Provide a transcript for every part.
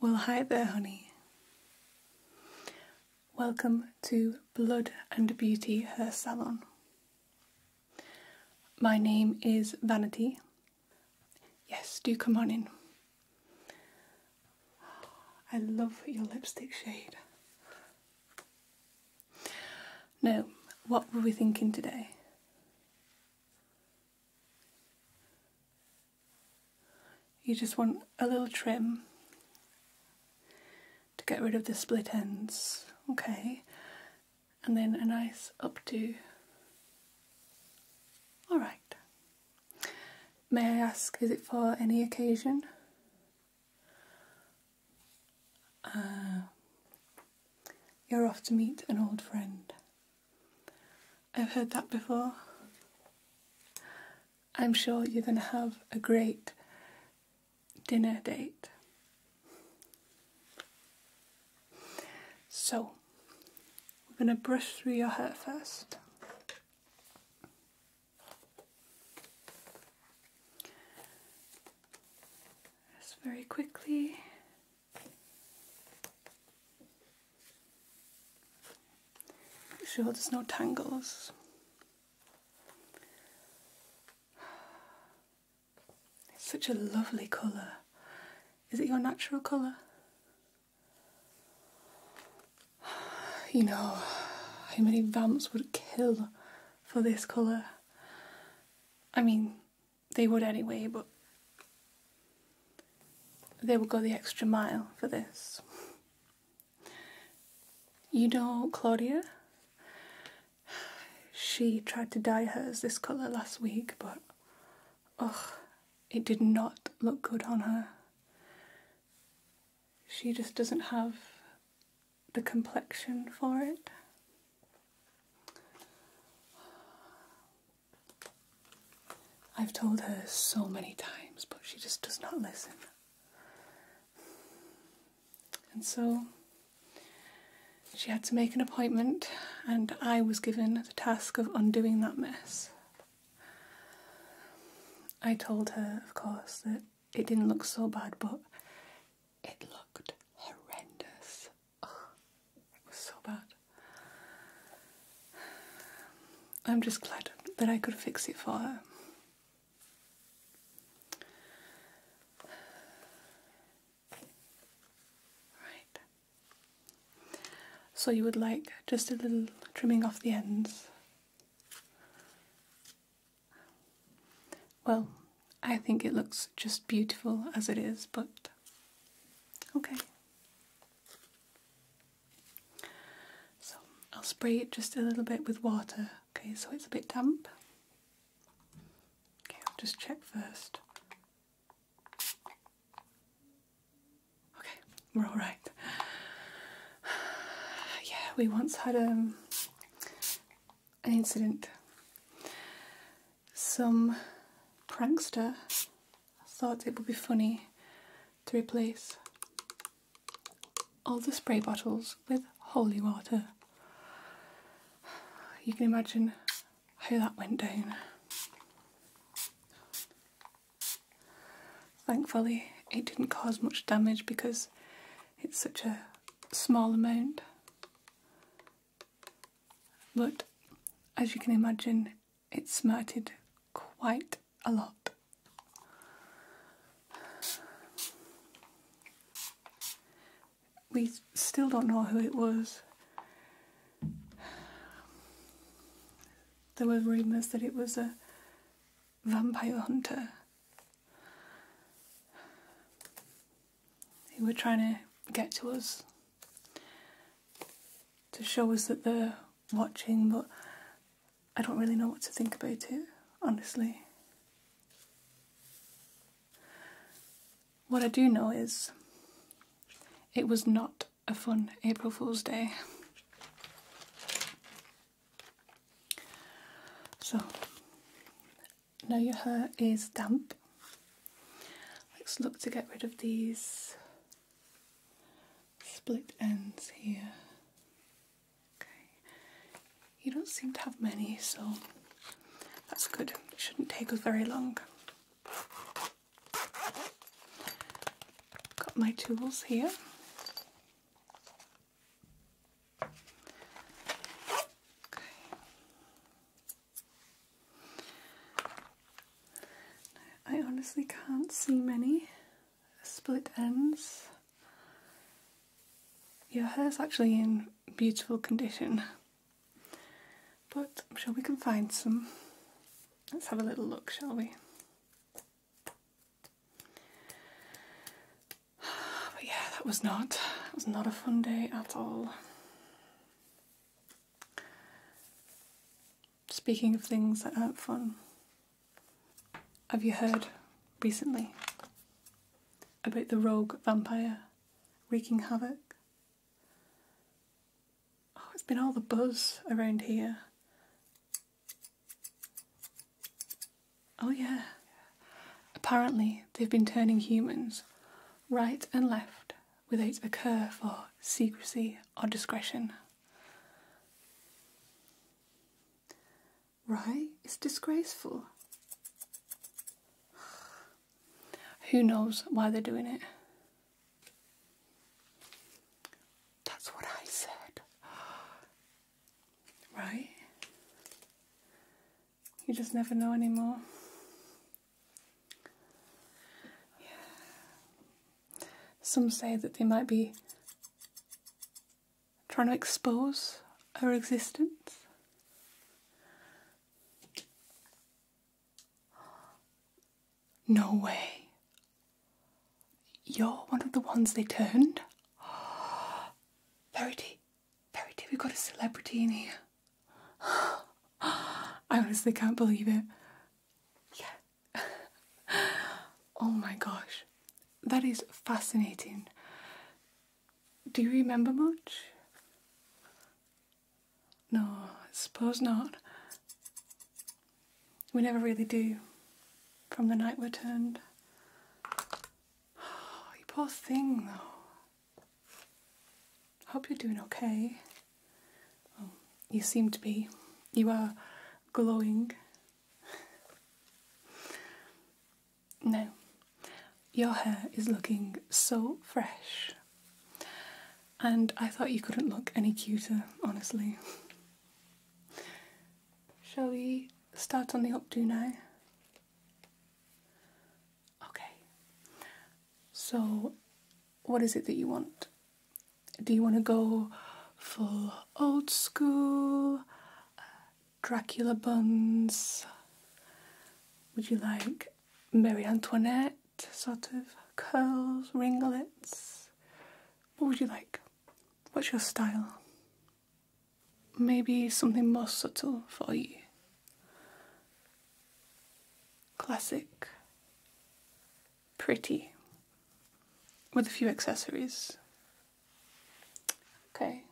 Well, hi there, honey. Welcome to Blood and Beauty Hair Salon. My name is Vanity. Yes, do come on in. I love your lipstick shade. No. what were we thinking today? You just want a little trim to get rid of the split ends, okay? And then a nice updo. Alright. May I ask, is it for any occasion? Uh, you're off to meet an old friend. I've heard that before. I'm sure you're going to have a great dinner date. So, we're going to brush through your hair first. Just very quickly. sure there's no tangles. It's such a lovely colour. Is it your natural colour? You know, how many vamps would kill for this colour. I mean, they would anyway, but they would go the extra mile for this. You know Claudia? She tried to dye hers this colour last week, but ugh, it did not look good on her. She just doesn't have the complexion for it. I've told her so many times, but she just does not listen. And so she had to make an appointment, and I was given the task of undoing that mess. I told her, of course, that it didn't look so bad, but it looked horrendous. it was so bad. I'm just glad that I could fix it for her. Right. So you would like just a little trimming off the ends. Well, I think it looks just beautiful as it is, but okay. So I'll spray it just a little bit with water, okay, so it's a bit damp. Okay, I'll just check first. Okay, we're alright. Yeah, we once had a. Um, an incident. Some prankster thought it would be funny to replace all the spray bottles with holy water. You can imagine how that went down. Thankfully, it didn't cause much damage because it's such a small amount. But as you can imagine, it smarted quite a lot. We still don't know who it was. There were rumours that it was a vampire hunter they were trying to get to us to show us that they're watching, but I don't really know what to think about it, honestly. What I do know is it was not a fun April Fool's Day. So now your hair is damp. Let's look to get rid of these split ends here. Okay. You don't seem to have many, so that's good. It shouldn't take us very long. Got my tools here. I honestly can't see many split ends. Your hair's actually in beautiful condition, but I'm sure we can find some. Let's have a little look, shall we? But yeah, that was not was not a fun day at all. Speaking of things that aren't fun, have you heard recently about the rogue vampire wreaking havoc? Oh, it's been all the buzz around here. Oh, yeah. Apparently, they've been turning humans right and left without a curve for secrecy or discretion. Right? is disgraceful. Who knows why they're doing it? That's what I said. Right? You just never know anymore. Yeah. Some say that they might be trying to expose her existence. No way. You're one of the ones they turned? Verity, Verity, we've got a celebrity in here. I honestly can't believe it. Yeah. oh my gosh. That is fascinating. Do you remember much? No, I suppose not. We never really do from the night we're turned you poor thing, though. I Hope you're doing okay. Um, you seem to be. You are glowing. No, your hair is looking so fresh. And I thought you couldn't look any cuter, honestly. Shall we start on the updo now? Okay. So, what is it that you want? Do you want to go full old school? Uh, Dracula buns? Would you like Marie Antoinette sort of curls, ringlets? What would you like? What's your style? maybe something more subtle for you. Classic, pretty, with a few accessories. Okay,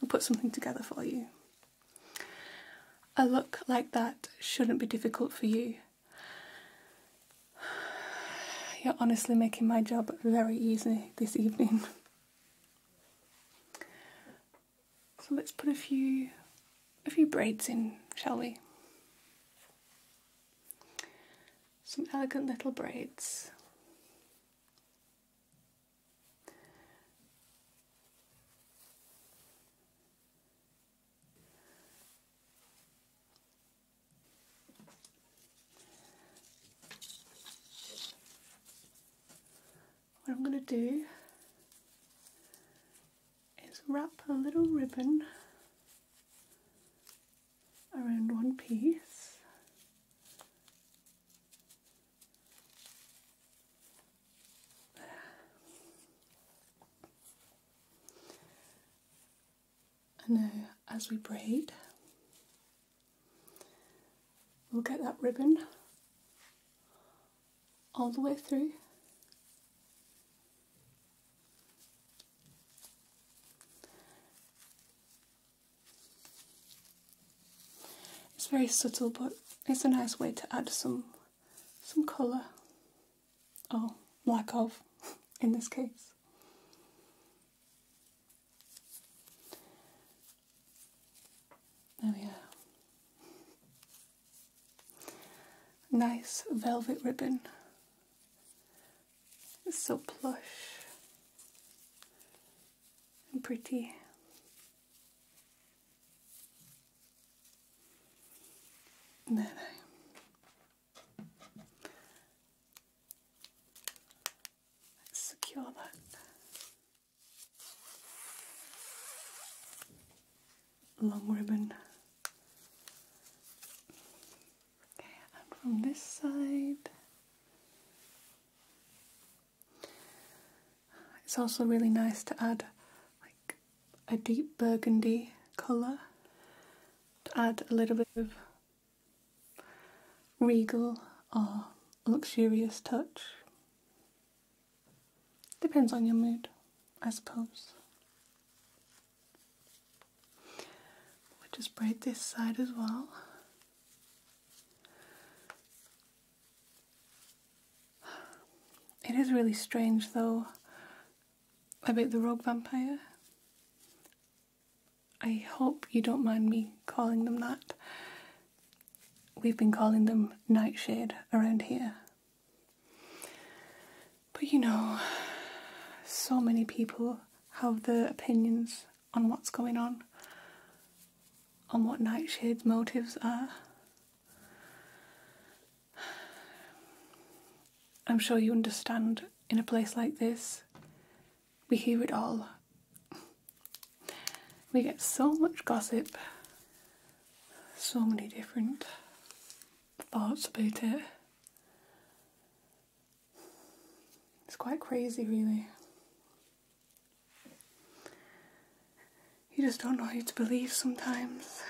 I'll put something together for you. A look like that shouldn't be difficult for you. You're honestly making my job very easy this evening. so let's put a few a few braids in, shall we? Some elegant little braids. What I'm going to do is wrap a little ribbon around one piece and now, as we braid, we'll get that ribbon all the way through. It's very subtle, but it's a nice way to add some some colour, or oh, lack of, in this case. There we are. Nice velvet ribbon. It's so plush and pretty. And secure that. Long ribbon. Okay, and from this side, it's also really nice to add like a deep burgundy colour to add a little bit of regal or luxurious touch. Depends on your mood, I suppose. We'll just braid this side as well. It is really strange though about the rogue vampire. I hope you don't mind me calling them that. We've been calling them Nightshade around here. But you know, so many people have their opinions on what's going on, on what Nightshade's motives are. I'm sure you understand in a place like this, we hear it all. We get so much gossip, so many different thoughts about it. It's quite crazy, really. You just don't know who to believe sometimes.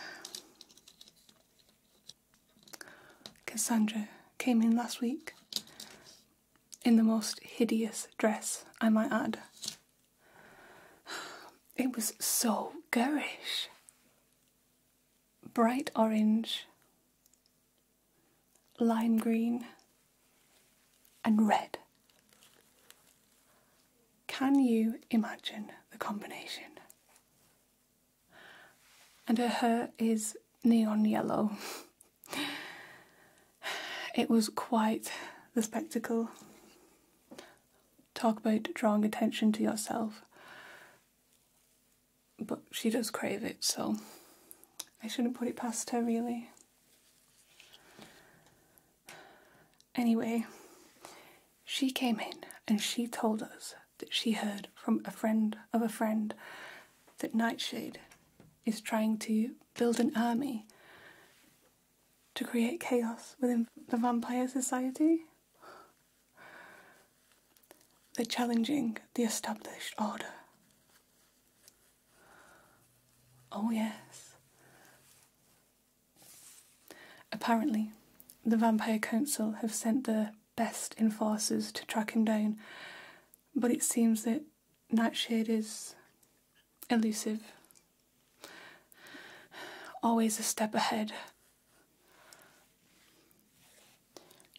Cassandra came in last week in the most hideous dress, I might add. It was so garish. Bright orange, lime green, and red. Can you imagine the combination? and her hair is neon yellow. it was quite the spectacle. Talk about drawing attention to yourself. But she does crave it, so I shouldn't put it past her, really. Anyway, she came in and she told us that she heard from a friend of a friend that Nightshade is trying to build an army to create chaos within the vampire society. They're challenging the established order. Oh, yes. Apparently, the Vampire Council have sent their best in forces to track him down, but it seems that Nightshade is elusive, always a step ahead.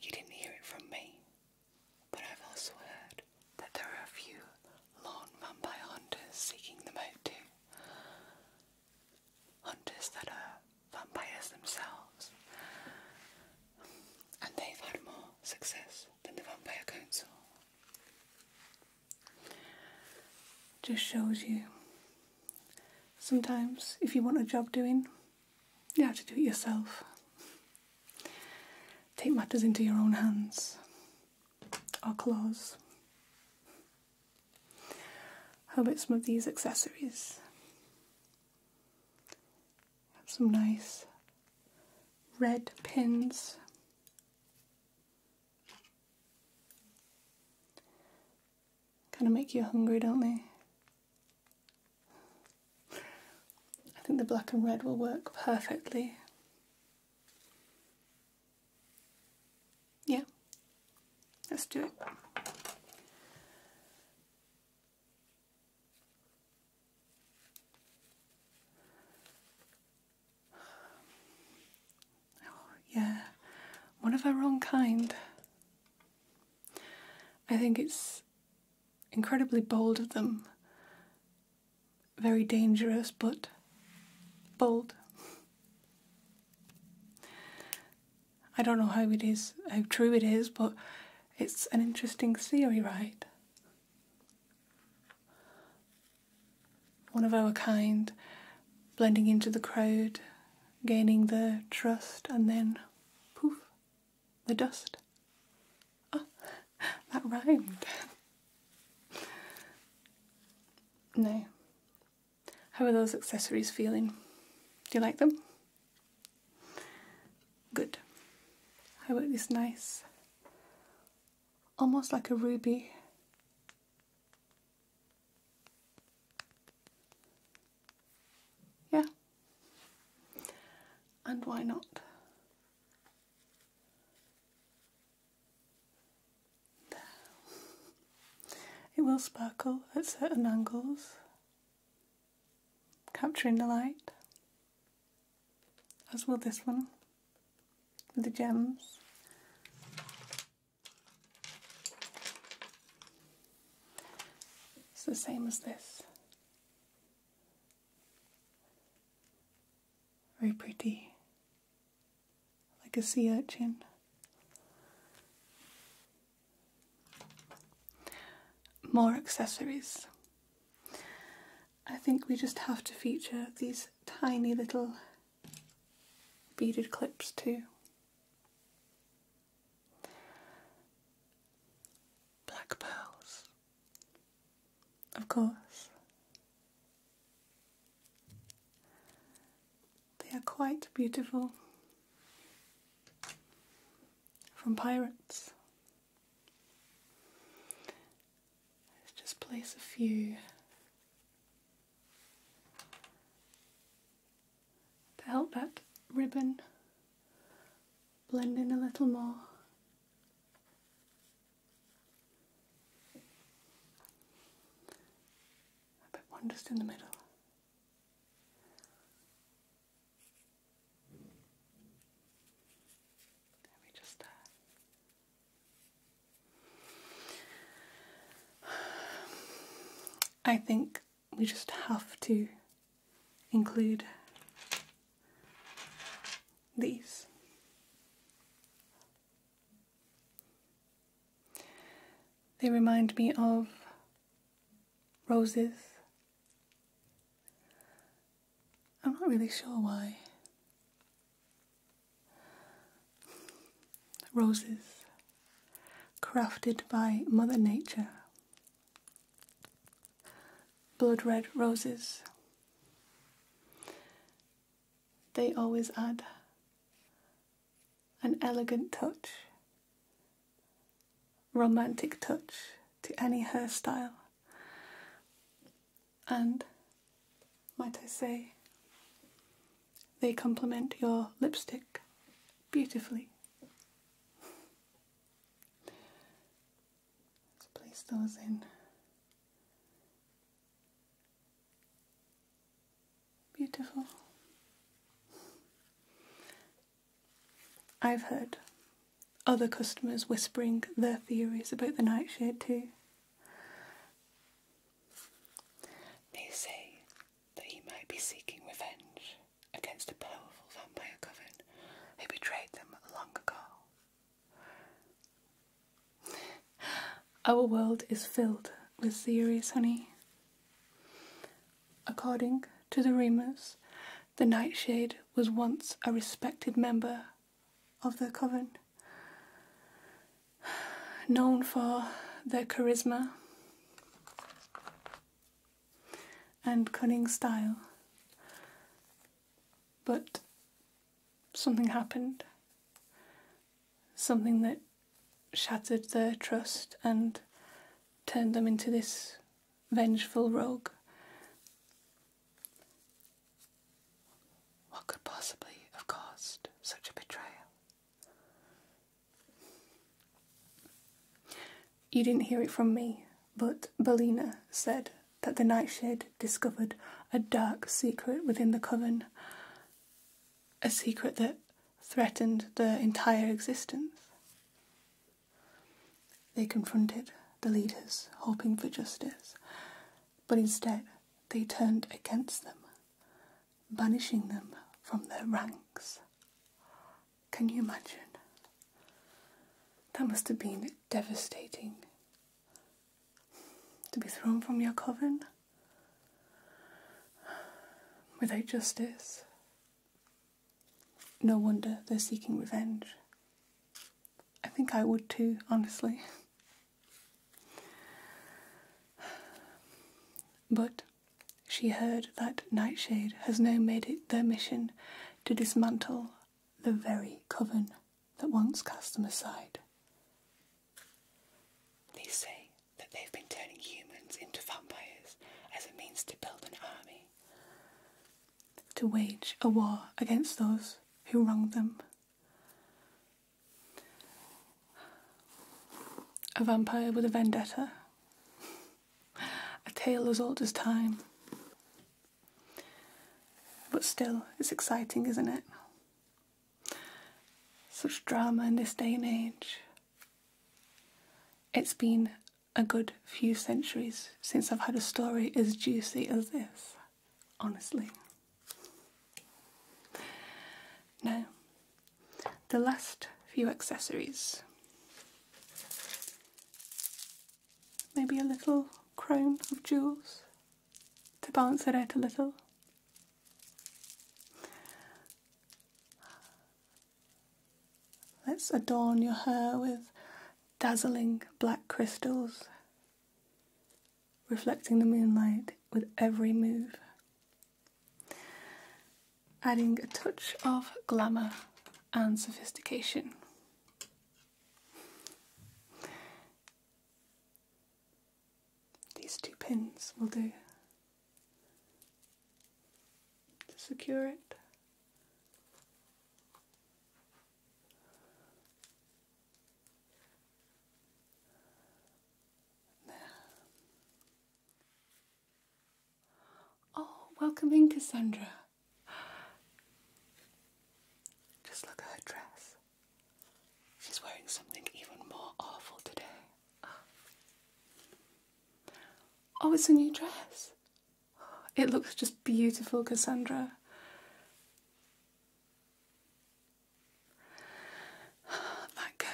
You didn't hear it from me, but I've also heard that there are a few lone vampire hunters seeking them out too. Hunters that are vampires themselves, and they've had more success than the Vampire Council. Just shows you sometimes if you want a job doing, you have to do it yourself. Take matters into your own hands or claws. How about some of these accessories have some nice red pins. Kind of make you hungry, don't they? I think the black and red will work perfectly. Yeah, let's do it. yeah, one of our own kind. I think it's incredibly bold of them, very dangerous, but bold. I don't know how it is, how true it is, but it's an interesting theory, right? One of our kind, blending into the crowd, gaining their trust, and then poof, the dust. Oh, that rhymed. no. How are those accessories feeling? Do you like them? Good. How about this nice, almost like a ruby? Yeah. And why not? There. It will sparkle at certain angles capturing the light, as will this one with the gems. It's the same as this. Very pretty, like a sea urchin. More accessories. I think we just have to feature these tiny little beaded clips too. Black pearls, of course. They are quite beautiful from pirates. Let's just place a few to help that ribbon blend in a little more. I put one just in the middle. Uh, I think we just have to include these. They remind me of roses. I'm not really sure why. Roses crafted by Mother Nature. Blood red roses. They always add an elegant touch, romantic touch to any hairstyle. And might I say, they complement your lipstick beautifully. Let's place those in. Beautiful. I've heard other customers whispering their theories about the nightshade too. They say that he might be seeking revenge against a powerful vampire coven who betrayed them long ago. Our world is filled with theories, honey. According to the rumours, the Nightshade was once a respected member of the coven, known for their charisma and cunning style. But something happened, something that shattered their trust and turned them into this vengeful rogue. What could possibly have caused such a betrayal? You didn't hear it from me, but Belina said that the Nightshade discovered a dark secret within the coven. A secret that threatened their entire existence. They confronted the leaders, hoping for justice, but instead they turned against them, banishing them from their ranks. Can you imagine? That must have been devastating. To be thrown from your coven without justice, no wonder they're seeking revenge. I think I would too, honestly. but she heard that Nightshade has now made it their mission to dismantle the very coven that once cast them aside. They say that they've been turning humans into vampires as a means to build an army, to wage a war against those who wronged them. A vampire with a vendetta. a tale as old as time. But still, it's exciting, isn't it? Such drama in this day and age. It's been a good few centuries since I've had a story as juicy as this, honestly. Now, the last few accessories. Maybe a little crown of jewels to balance it out a little. Let's adorn your hair with dazzling black crystals, reflecting the moonlight with every move, adding a touch of glamour and sophistication. These two pins will do to secure it. Oh, welcome Cassandra. Just look at her dress. She's wearing something even more awful today. Oh, it's a new dress. It looks just beautiful, Cassandra. That girl.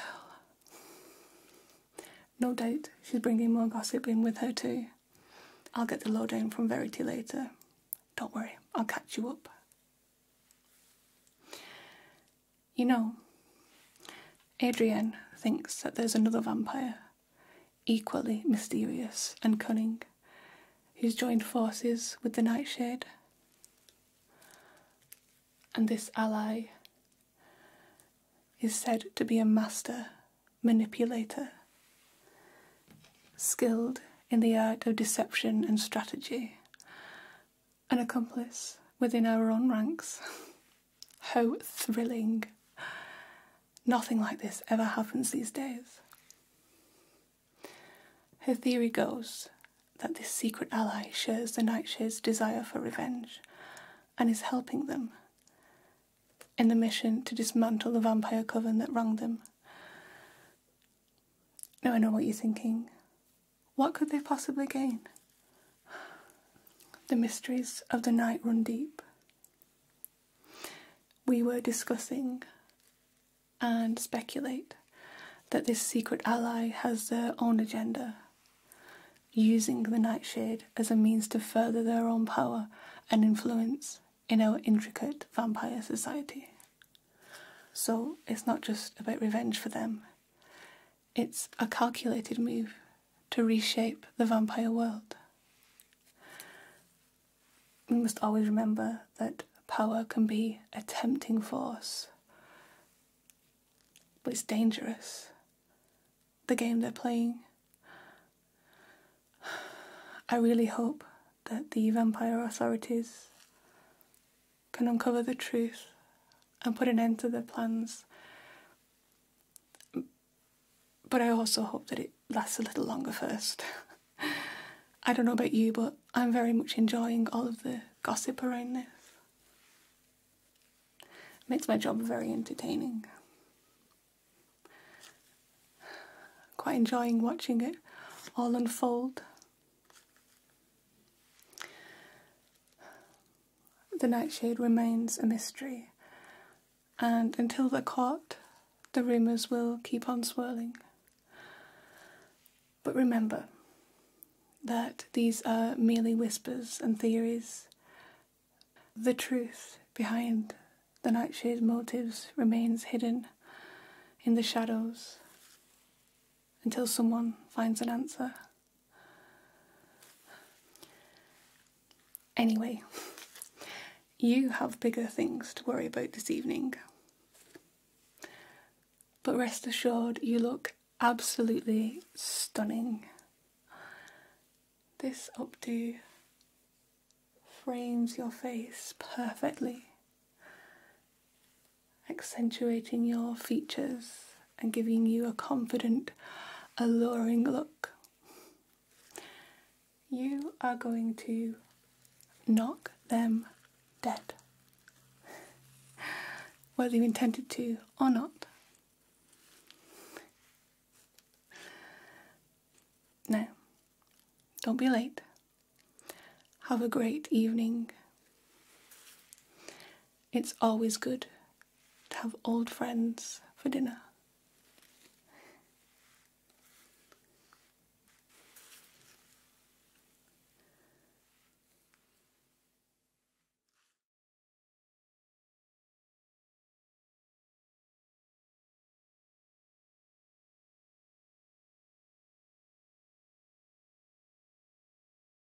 No date. she's bringing more gossip in with her, too. I'll get the lowdown from Verity later. Don't worry, I'll catch you up. You know, Adrian thinks that there's another vampire, equally mysterious and cunning, who's joined forces with the Nightshade. And this ally is said to be a master manipulator, skilled in the art of deception and strategy, an accomplice within our own ranks. How thrilling. Nothing like this ever happens these days. Her theory goes that this secret ally shares the Nightshade's desire for revenge and is helping them in the mission to dismantle the vampire coven that wrung them. Now I know what you're thinking. What could they possibly gain? The mysteries of the night run deep. We were discussing and speculate that this secret ally has their own agenda, using the nightshade as a means to further their own power and influence in our intricate vampire society. So it's not just about revenge for them, it's a calculated move to reshape the vampire world. We must always remember that power can be a tempting force, but it's dangerous. The game they're playing. I really hope that the vampire authorities can uncover the truth and put an end to their plans. But I also hope that it lasts a little longer first. I don't know about you, but I'm very much enjoying all of the gossip around this. It makes my job very entertaining. Quite enjoying watching it all unfold the nightshade remains a mystery, and until they're caught, the rumours will keep on swirling. But remember that these are merely whispers and theories. The truth behind the nightshade's motives remains hidden in the shadows until someone finds an answer. Anyway, you have bigger things to worry about this evening. But rest assured, you look absolutely stunning. This updo frames your face perfectly, accentuating your features and giving you a confident, alluring look. You are going to knock them dead, whether you intended to or not. Now, don't be late. Have a great evening. It's always good to have old friends for dinner.